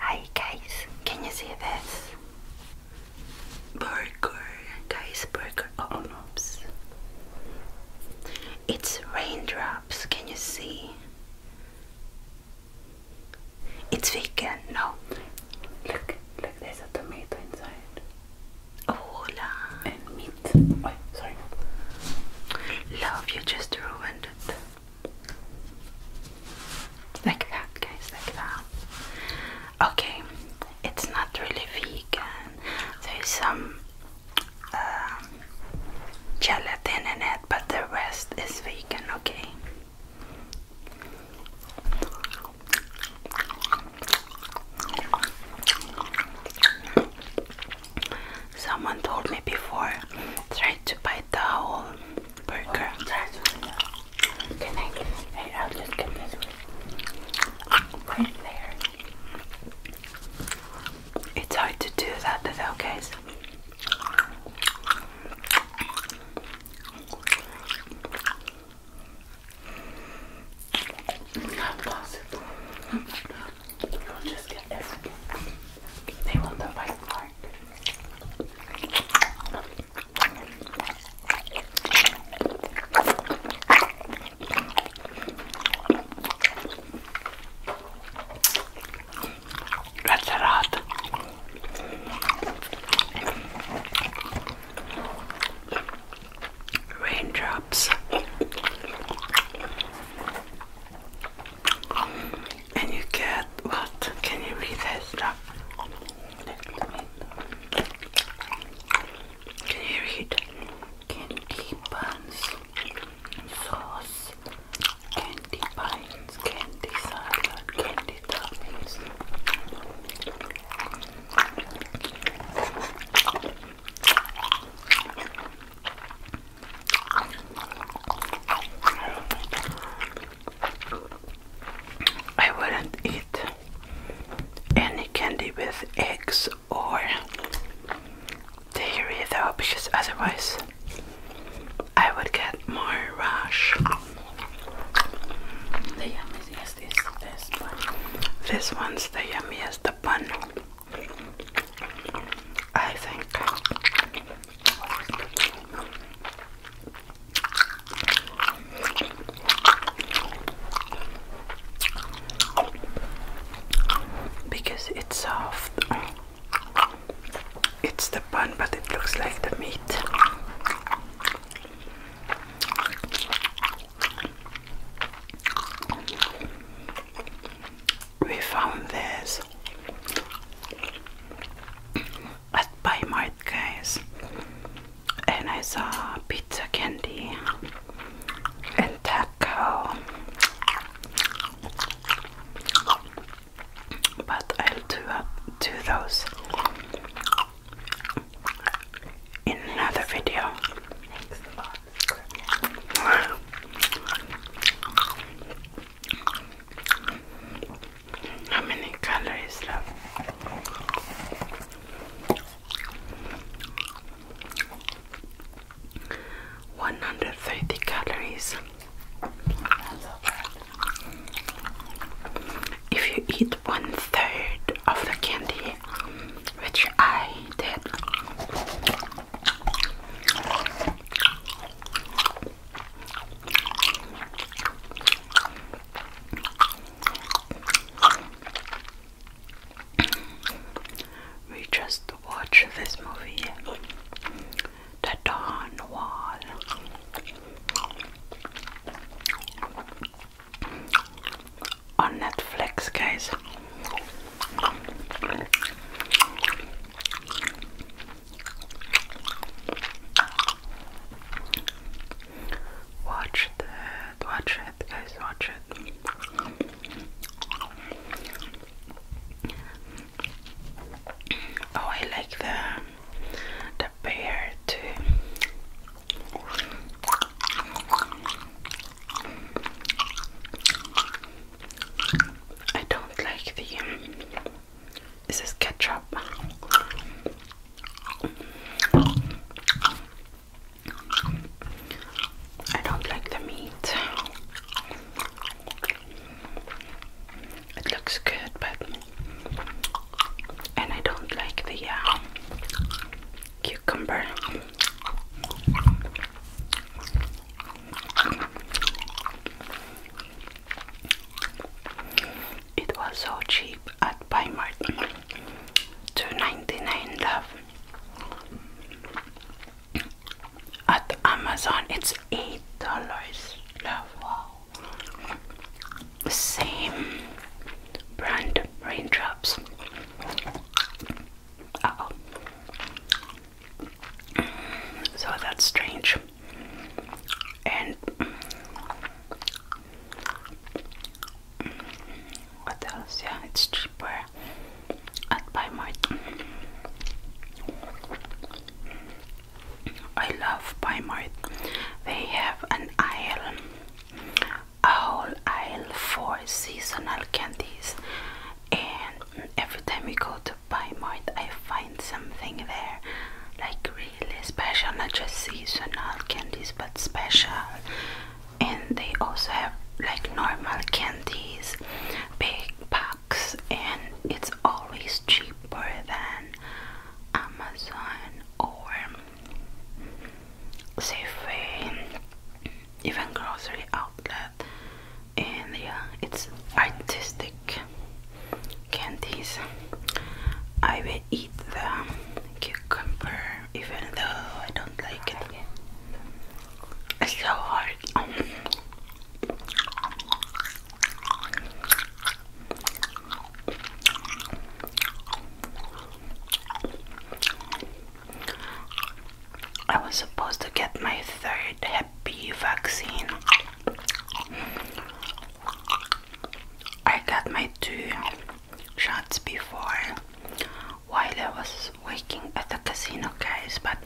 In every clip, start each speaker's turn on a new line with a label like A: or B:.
A: Hey guys, can you see this? Burger, guys, burger. Oh It's raindrops. Can you see? It's vegan. No. Look, look. There's a tomato inside. Oh, hola. And meat. Oh, sorry. Love, you just ruined it. Like that, guys, like that. Okay, it's not really vegan. There's some um, gelatin in it, but the rest is vegan, okay? Someone told me before, try to buy the whole burger. Can I hey, I'll just get this Right there. It's hard to do that though, guys. Not possible. will just get everything. They want the white part. That's a Raindrops and you get what? Can you read that stuff? Can you Candy buns, sauce, candy pines, candy salad, candy toppings. I wouldn't eat any candy with eggs or dairy though because otherwise I would get more rash. this, This one's the yummiest, the bun. I think. Because it's soft. It's the bun, but it looks like the meat we found this at Paymart guys and I saw pizza candy and taco but I'll do, do those in another video How many calories left? One hundred thirty calories. If you eat one third of the candy, which I did, we just watched this movie, The Dawn Wall. On Netflix, guys. Watch that, watch it, guys, watch it. Oh, I like the the pear too. I don't like the. This is ketchup. I don't like the meat. It looks good, but and I don't like the uh, cucumber. It was so cheap at Primark. 2.99 love. At Amazon it's $8 love. The same brand raindrops. oh. So that's strange. And what else? Yeah, it's cheaper at Buy More, I love Buy More. They have an aisle, a whole aisle for seasonal candies and every time we go to buy mart I find something there like really special not just seasonal candies but special and they also have like normal candies big packs and it's always cheaper than Amazon or Safeway even grocery outlet and yeah it's artistic candies I will eat the cucumber even though I don't like it it's so hard I was supposed to get my third happy vaccine. I got my two shots before while I was working at the casino, guys, but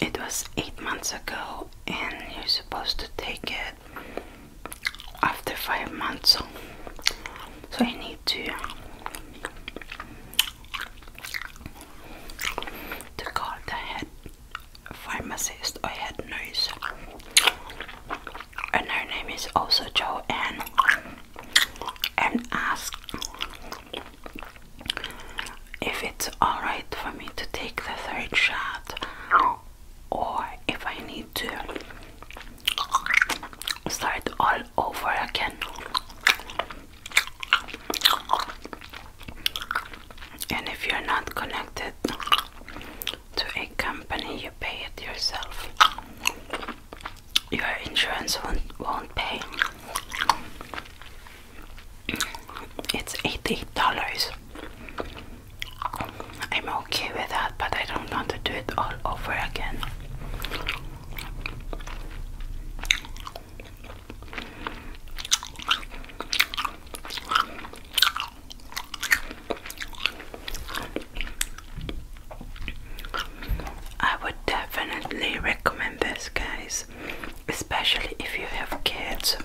A: it was eight months ago, and you're supposed to take it after five months. So I need to to call the head pharmacist or head nurse. And her name is also Joanne. And ask if it's alright for me to take the third shot or if I need to start all over again and if you're not connected to a company you pay it yourself your insurance won't, won't pay it's $88 I'm okay with that, but I don't want to do it all over again. I would definitely recommend this, guys, especially if you have kids.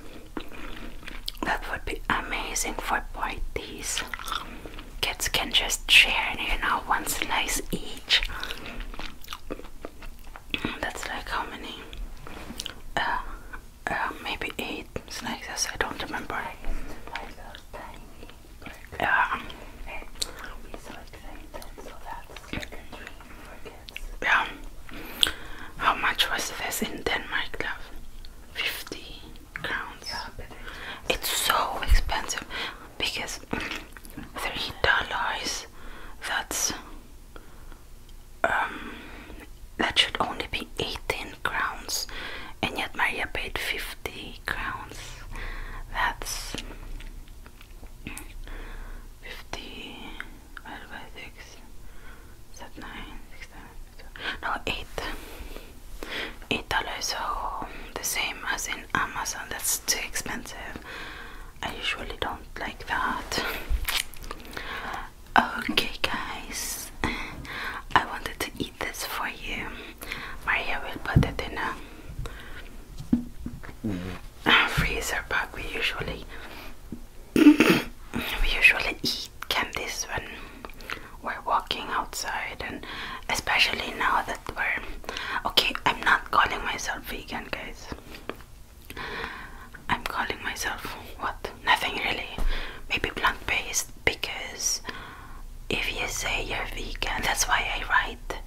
A: That would be amazing for parties kids can just share, and you know, one slice each. That's like how many? Uh, uh, maybe eight slices, I don't remember. Yeah. Yeah. How much was this in Denmark, love? 50 crowns. It's so expensive because three dollars. That's um that should only be eighteen crowns, and yet Maria paid fifty crowns. That's fifty. What about six? Is nine? no eight eight dollars so the same as in Amazon that's too expensive I usually don't like that okay guys I wanted to eat this for you Maria will put it in a freezer bag we usually we usually eat can this one we're walking outside and especially now that we're okay i'm not calling myself vegan guys i'm calling myself what nothing really maybe plant-based because if you say you're vegan that's why i write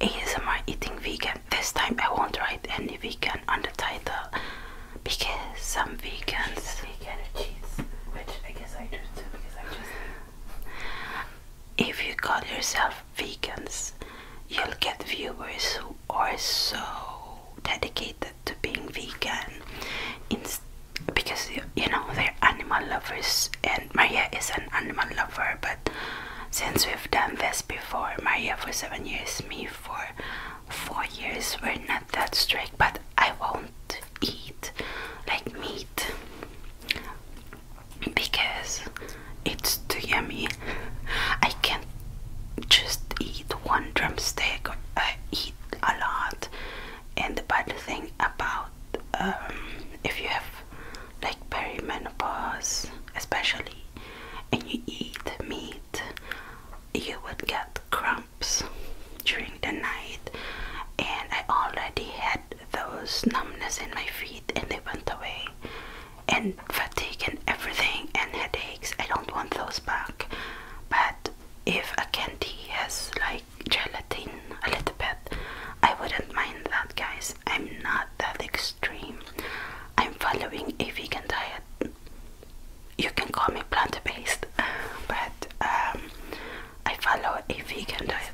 A: asmr eating vegan this time i won't write any vegan on the title because some vegans vegan cheese which i guess i do too if you call yourself vegans, you'll get viewers who are so dedicated to being vegan, because you know they're animal lovers, and Maria is an animal lover. But since we've done this before, Maria for seven years, me for four years, we're not that strict. But I won't do eat like meat because it's too yummy. I can't just eat one drumstick. I eat a lot, and the bad thing about um, if you have like perimenopause, especially, and you eat meat, you would get cramps during the night and I already had those numbness in my feet and they went away and fatigue and everything and headaches I don't want those back but if a candy has like gelatin a little bit I wouldn't mind that guys I'm not that extreme I'm following a vegan diet you can call me plant-based, but um, I follow a vegan diet.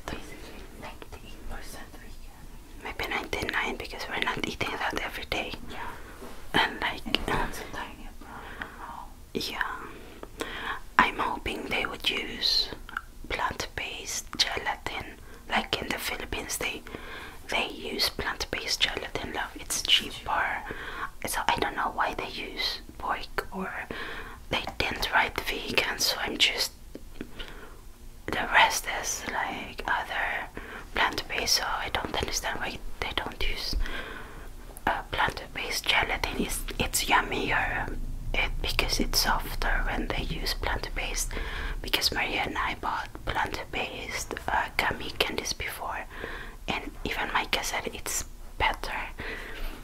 A: Maybe ninety-nine because we're not eating that every day. Yeah. And like. Yeah. I'm hoping they would use plant-based gelatin, like in the Philippines they they use plant-based gelatin. Love, it's cheaper. So I don't know why they use boik or they didn't write vegan so I'm just the rest is like other plant-based so I don't understand why they don't use a uh, plant-based gelatin it's, it's yummier it, eh, because it's softer when they use plant-based because Maria and I bought plant-based uh, gummy candies before and even Micah said it's better.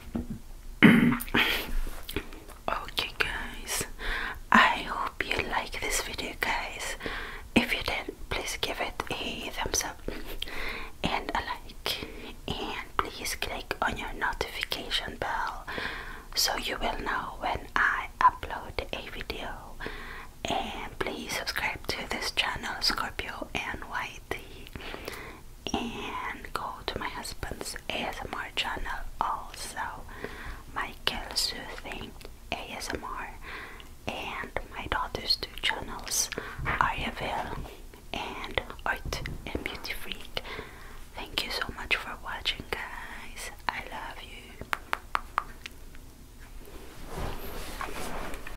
A: okay, guys, I hope you like this video, guys. If you did, please give it a thumbs up and a like, and please click on your notification bell so you will know when I upload a video. And please subscribe to this channel, Scorpio and White and go to my husband's ASMR channel also Michael Soothing ASMR and my daughter's two channels Ariaville and Art and Beauty Freak. Thank you so much for watching guys. I love you.